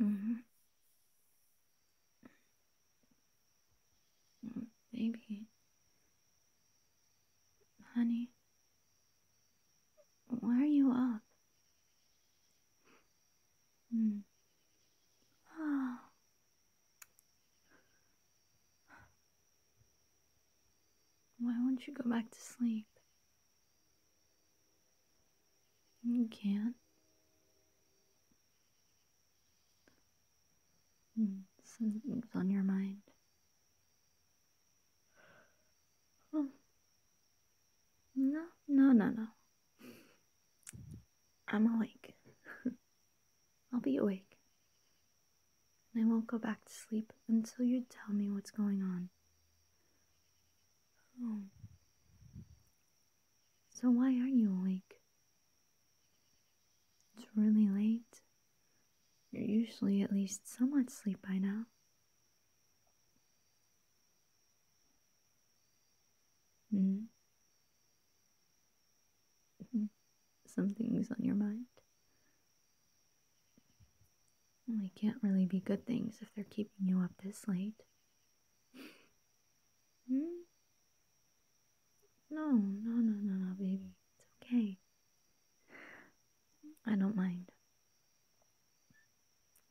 Mm-hmm. Mm -hmm. Baby. Honey. Why are you up? Hmm. Oh. Why won't you go back to sleep? You can't. Hmm, something's on your mind. No, no, no, no. I'm awake. I'll be awake and I won't go back to sleep until you tell me what's going on. Oh. So, why are you awake? It's really late. You're usually at least somewhat asleep by now. Mm. Something's on your mind. They can't really be good things if they're keeping you up this late. Hmm? No, no, no, no, no, baby. It's okay. I don't mind.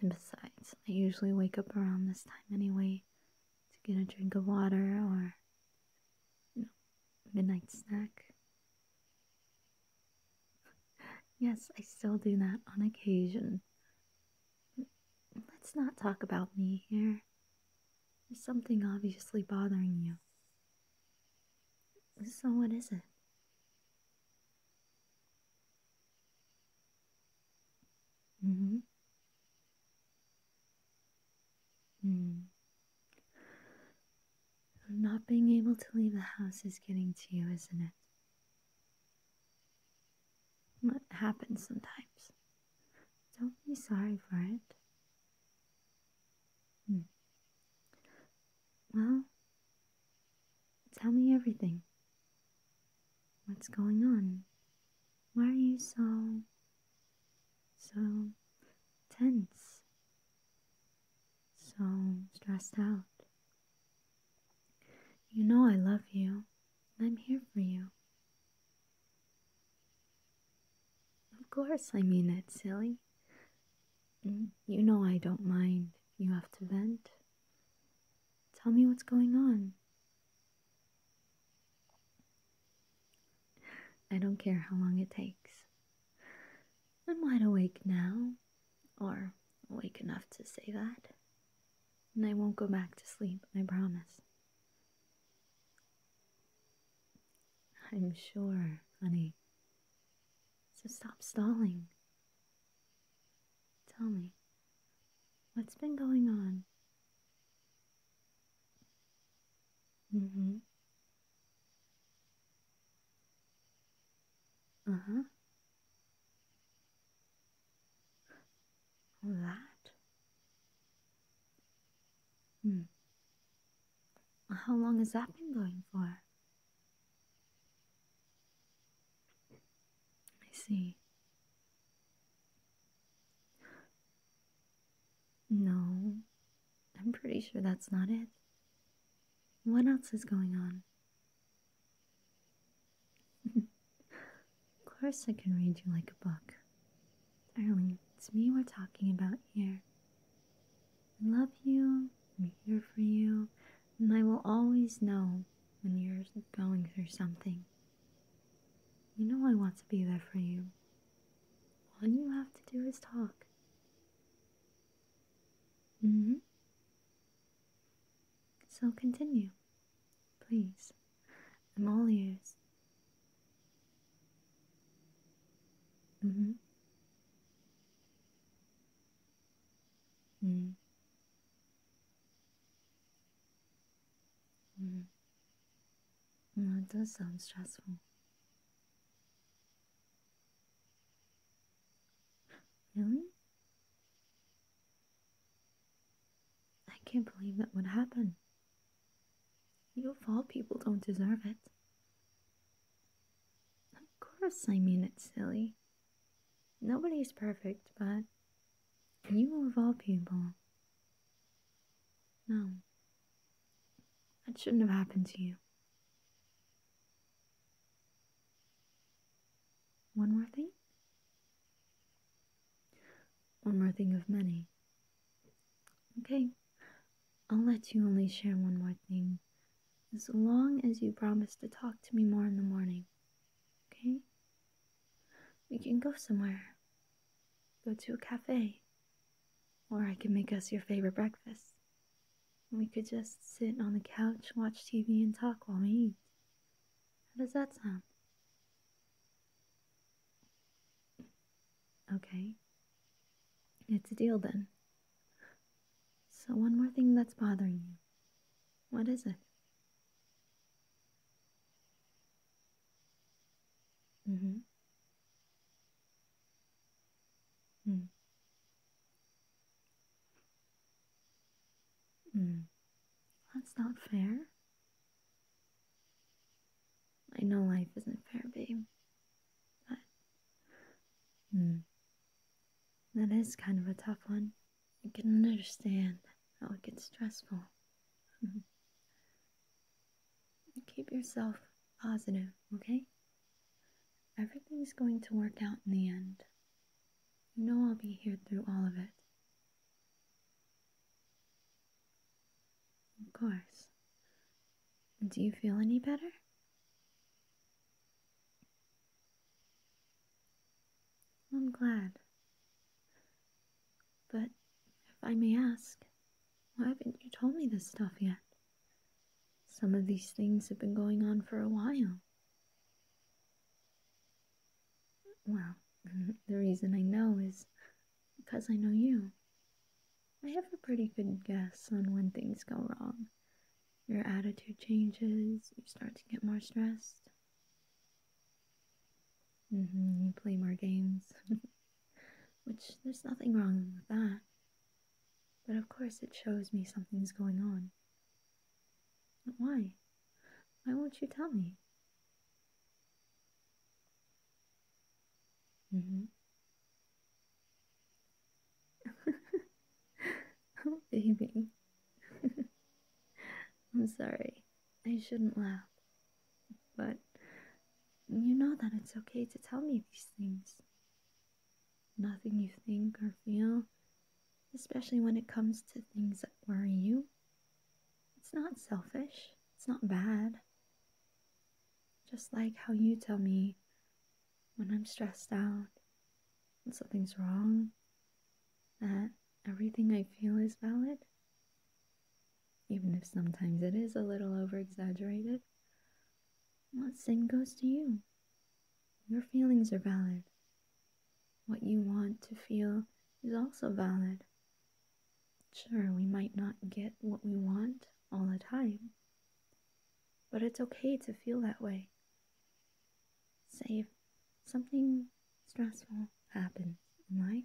And besides, I usually wake up around this time anyway to get a drink of water or you know, midnight snack. yes, I still do that on occasion. Let's not talk about me here. There's something obviously bothering you. So, what is it? Mm-hmm. mm hmm not being able to leave the house is getting to you, isn't it? What happens sometimes. Don't be sorry for it. Hmm. Well, tell me everything. What's going on? Why are you so, so tense? so stressed out. You know I love you, I'm here for you. Of course, I mean it, silly. Mm, you know I don't mind. You have to vent. Tell me what's going on. I don't care how long it takes. I'm wide awake now, or awake enough to say that. And I won't go back to sleep, I promise. I'm sure, honey. So stop stalling. Tell me, what's been going on? Mm hmm. Mm-hmm. That? Hmm. How long has that been going for? I see. No, I'm pretty sure that's not it. What else is going on? of course, I can read you like a book. Darling, it's me we're talking about here. I love you, I'm here for you, and I will always know when you're going through something. You know I want to be there for you. All you have to do is talk. Mm hmm. So continue, please. I'm all ears. Mm hmm. Mm. Hmm. Well, it does sound stressful. Really? I can't believe that would happen. You of all people don't deserve it. Of course, I mean it, silly. Nobody is perfect, but you of all people. No, that shouldn't have happened to you. One more thing? One more thing of many. Okay, I'll let you only share one more thing as long as you promise to talk to me more in the morning. Okay? We can go somewhere, go to a cafe. Or I could make us your favorite breakfast. And we could just sit on the couch, watch TV, and talk while we eat. How does that sound? Okay. It's a deal then. So, one more thing that's bothering you. What is it? Mm hmm. Mm. Mm. That's not fair. I know life isn't fair, babe. But mm, that is kind of a tough one. I can understand how it gets stressful. Keep yourself positive, okay? Everything's going to work out in the end. You know I'll be here through all of it. Of course. Do you feel any better? I'm glad. But if I may ask, why haven't you told me this stuff yet? Some of these things have been going on for a while. Well, the reason I know is because I know you. I have a pretty good guess on when things go wrong. Your attitude changes, you start to get more stressed. Mm-hmm, you play more games. Which there's nothing wrong with that. But of course, it shows me something's going on. why? Why won't you tell me? Mm hmm. oh, baby. I'm sorry. I shouldn't laugh. But you know that it's okay to tell me these things. Nothing you think or feel, especially when it comes to things that worry you. It's not selfish, it's not bad. Just like how you tell me when I'm stressed out, when something's wrong, that everything I feel is valid even if sometimes it is a little over exaggerated. What sin goes to you? Your feelings are valid. What you want to feel is also valid. Sure, we might not get what we want all the time, but it's okay to feel that way. Say if something stressful happens in life,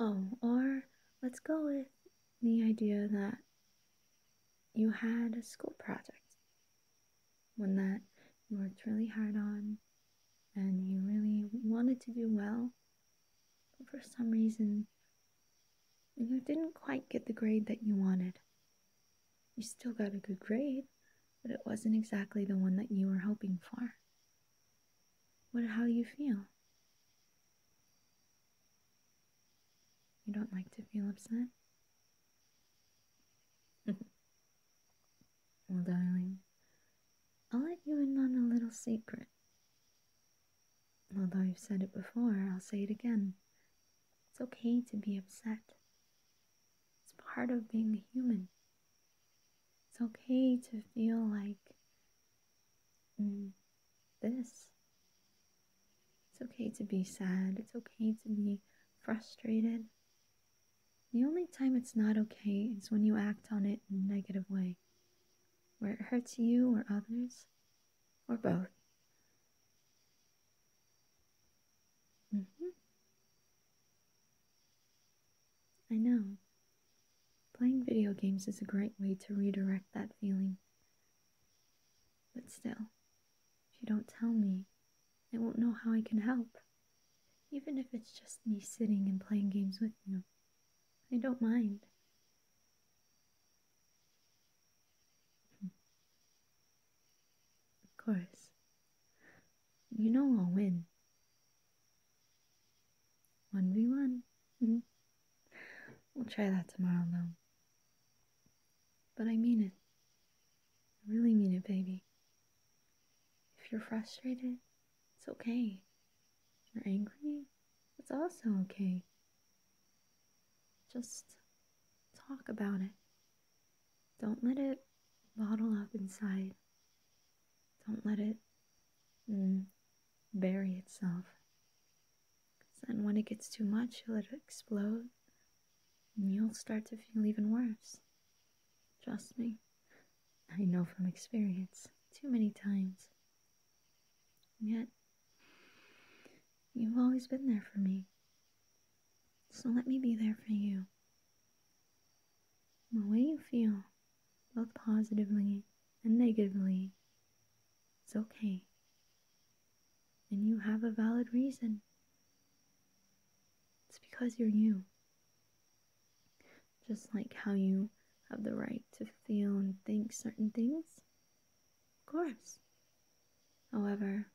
Oh, or let's go with the idea that you had a school project, one that you worked really hard on and you really wanted to do well, but for some reason you didn't quite get the grade that you wanted. You still got a good grade, but it wasn't exactly the one that you were hoping for what how you feel. You don't like to feel upset? well, darling, I'll let you in on a little secret. Although I've said it before, I'll say it again. It's okay to be upset. It's part of being human. It's okay to feel like mm, this. It's okay to be sad. It's okay to be frustrated. The only time it's not okay is when you act on it in a negative way, where it hurts you or others, or both. Mm-hmm. I know. Playing video games is a great way to redirect that feeling. But still, if you don't tell me, I won't know how I can help. Even if it's just me sitting and playing games with you, I don't mind. Hmm. Of course, you know I'll win. 1v1. Mm-hmm. We'll try that tomorrow, though. But I mean it. I really mean it, baby. If you're frustrated, it's okay. you're angry, it's also okay. Just talk about it. Don't let it bottle up inside. Don't let it mm, bury itself. Because then, when it gets too much, it'll explode, and you'll start to feel even worse. Trust me, I know from experience too many times. And yet, you've always been there for me. So let me be there for you. The way you feel both positively and negatively, it's okay. And you have a valid reason. It's because you're you. Just like how you have the right to feel and think certain things. Of course. However,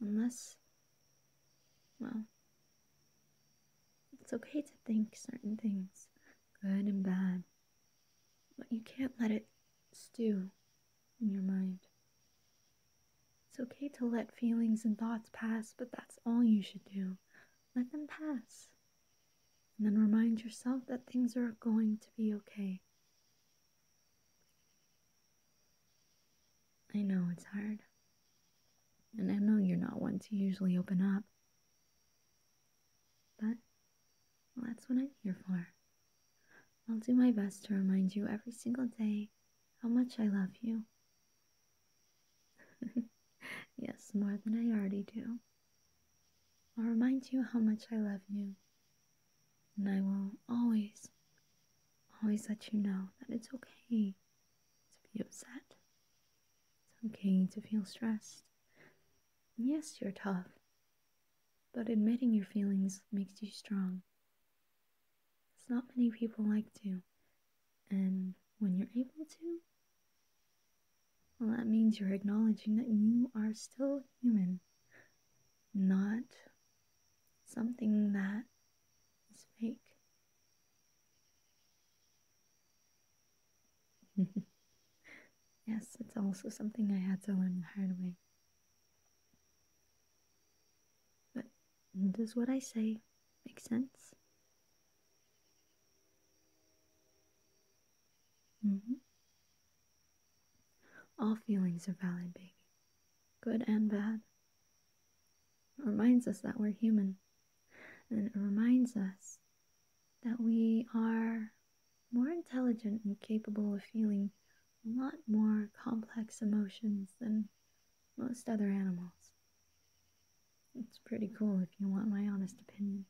unless, well, it's okay to think certain things, good and bad, but you can't let it stew in your mind. It's okay to let feelings and thoughts pass, but that's all you should do. Let them pass. And then remind yourself that things are going to be okay. I know it's hard. And I know you're not one to usually open up, but that's what I'm here for. I'll do my best to remind you every single day how much I love you. yes, more than I already do. I'll remind you how much I love you. And I will always, always let you know that it's okay to be upset it's okay to feel stressed. Yes, you're tough, but admitting your feelings makes you strong. It's not many people like to, and when you're able to, well, that means you're acknowledging that you are still human, not something that it's fake. yes, it's also something I had to learn the hard way. But does what I say make sense? Mm-hmm. All feelings are valid, baby. Good and bad reminds us that we're human, and it reminds us that we are more intelligent and capable of feeling a lot more complex emotions than most other animals. It's pretty cool if you want my honest opinion.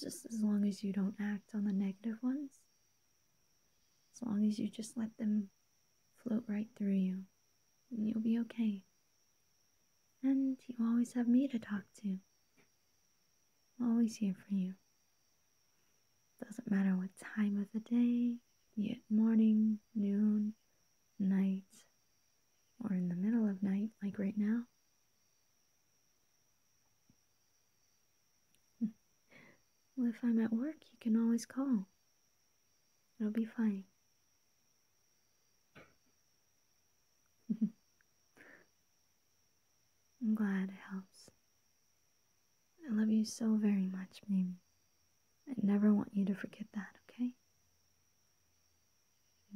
Just as long as you don't act on the negative ones, as long as you just let them float right through you, and you'll be okay. And you always have me to talk to. I'm always here for you. Doesn't matter what time of the day, be morning, noon, night, or in the middle of night, like right now. well, if I'm at work, you can always call. It'll be fine. I'm glad it helps. I love you so very much, Mimi. I never want you to forget that, okay?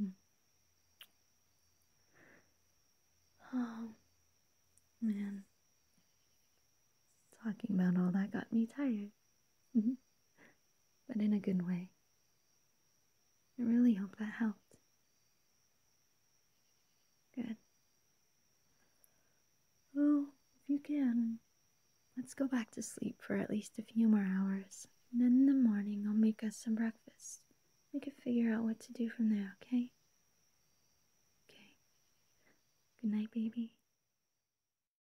Mm. Oh, man. Talking about all that got me tired. Mm-hmm. But in a good way. I really hope that helped. Good. Well, if you can, let's go back to sleep for at least a few more hours. then in the morning, I'll make us some breakfast. We can figure out what to do from there, okay? Okay. Good night, baby.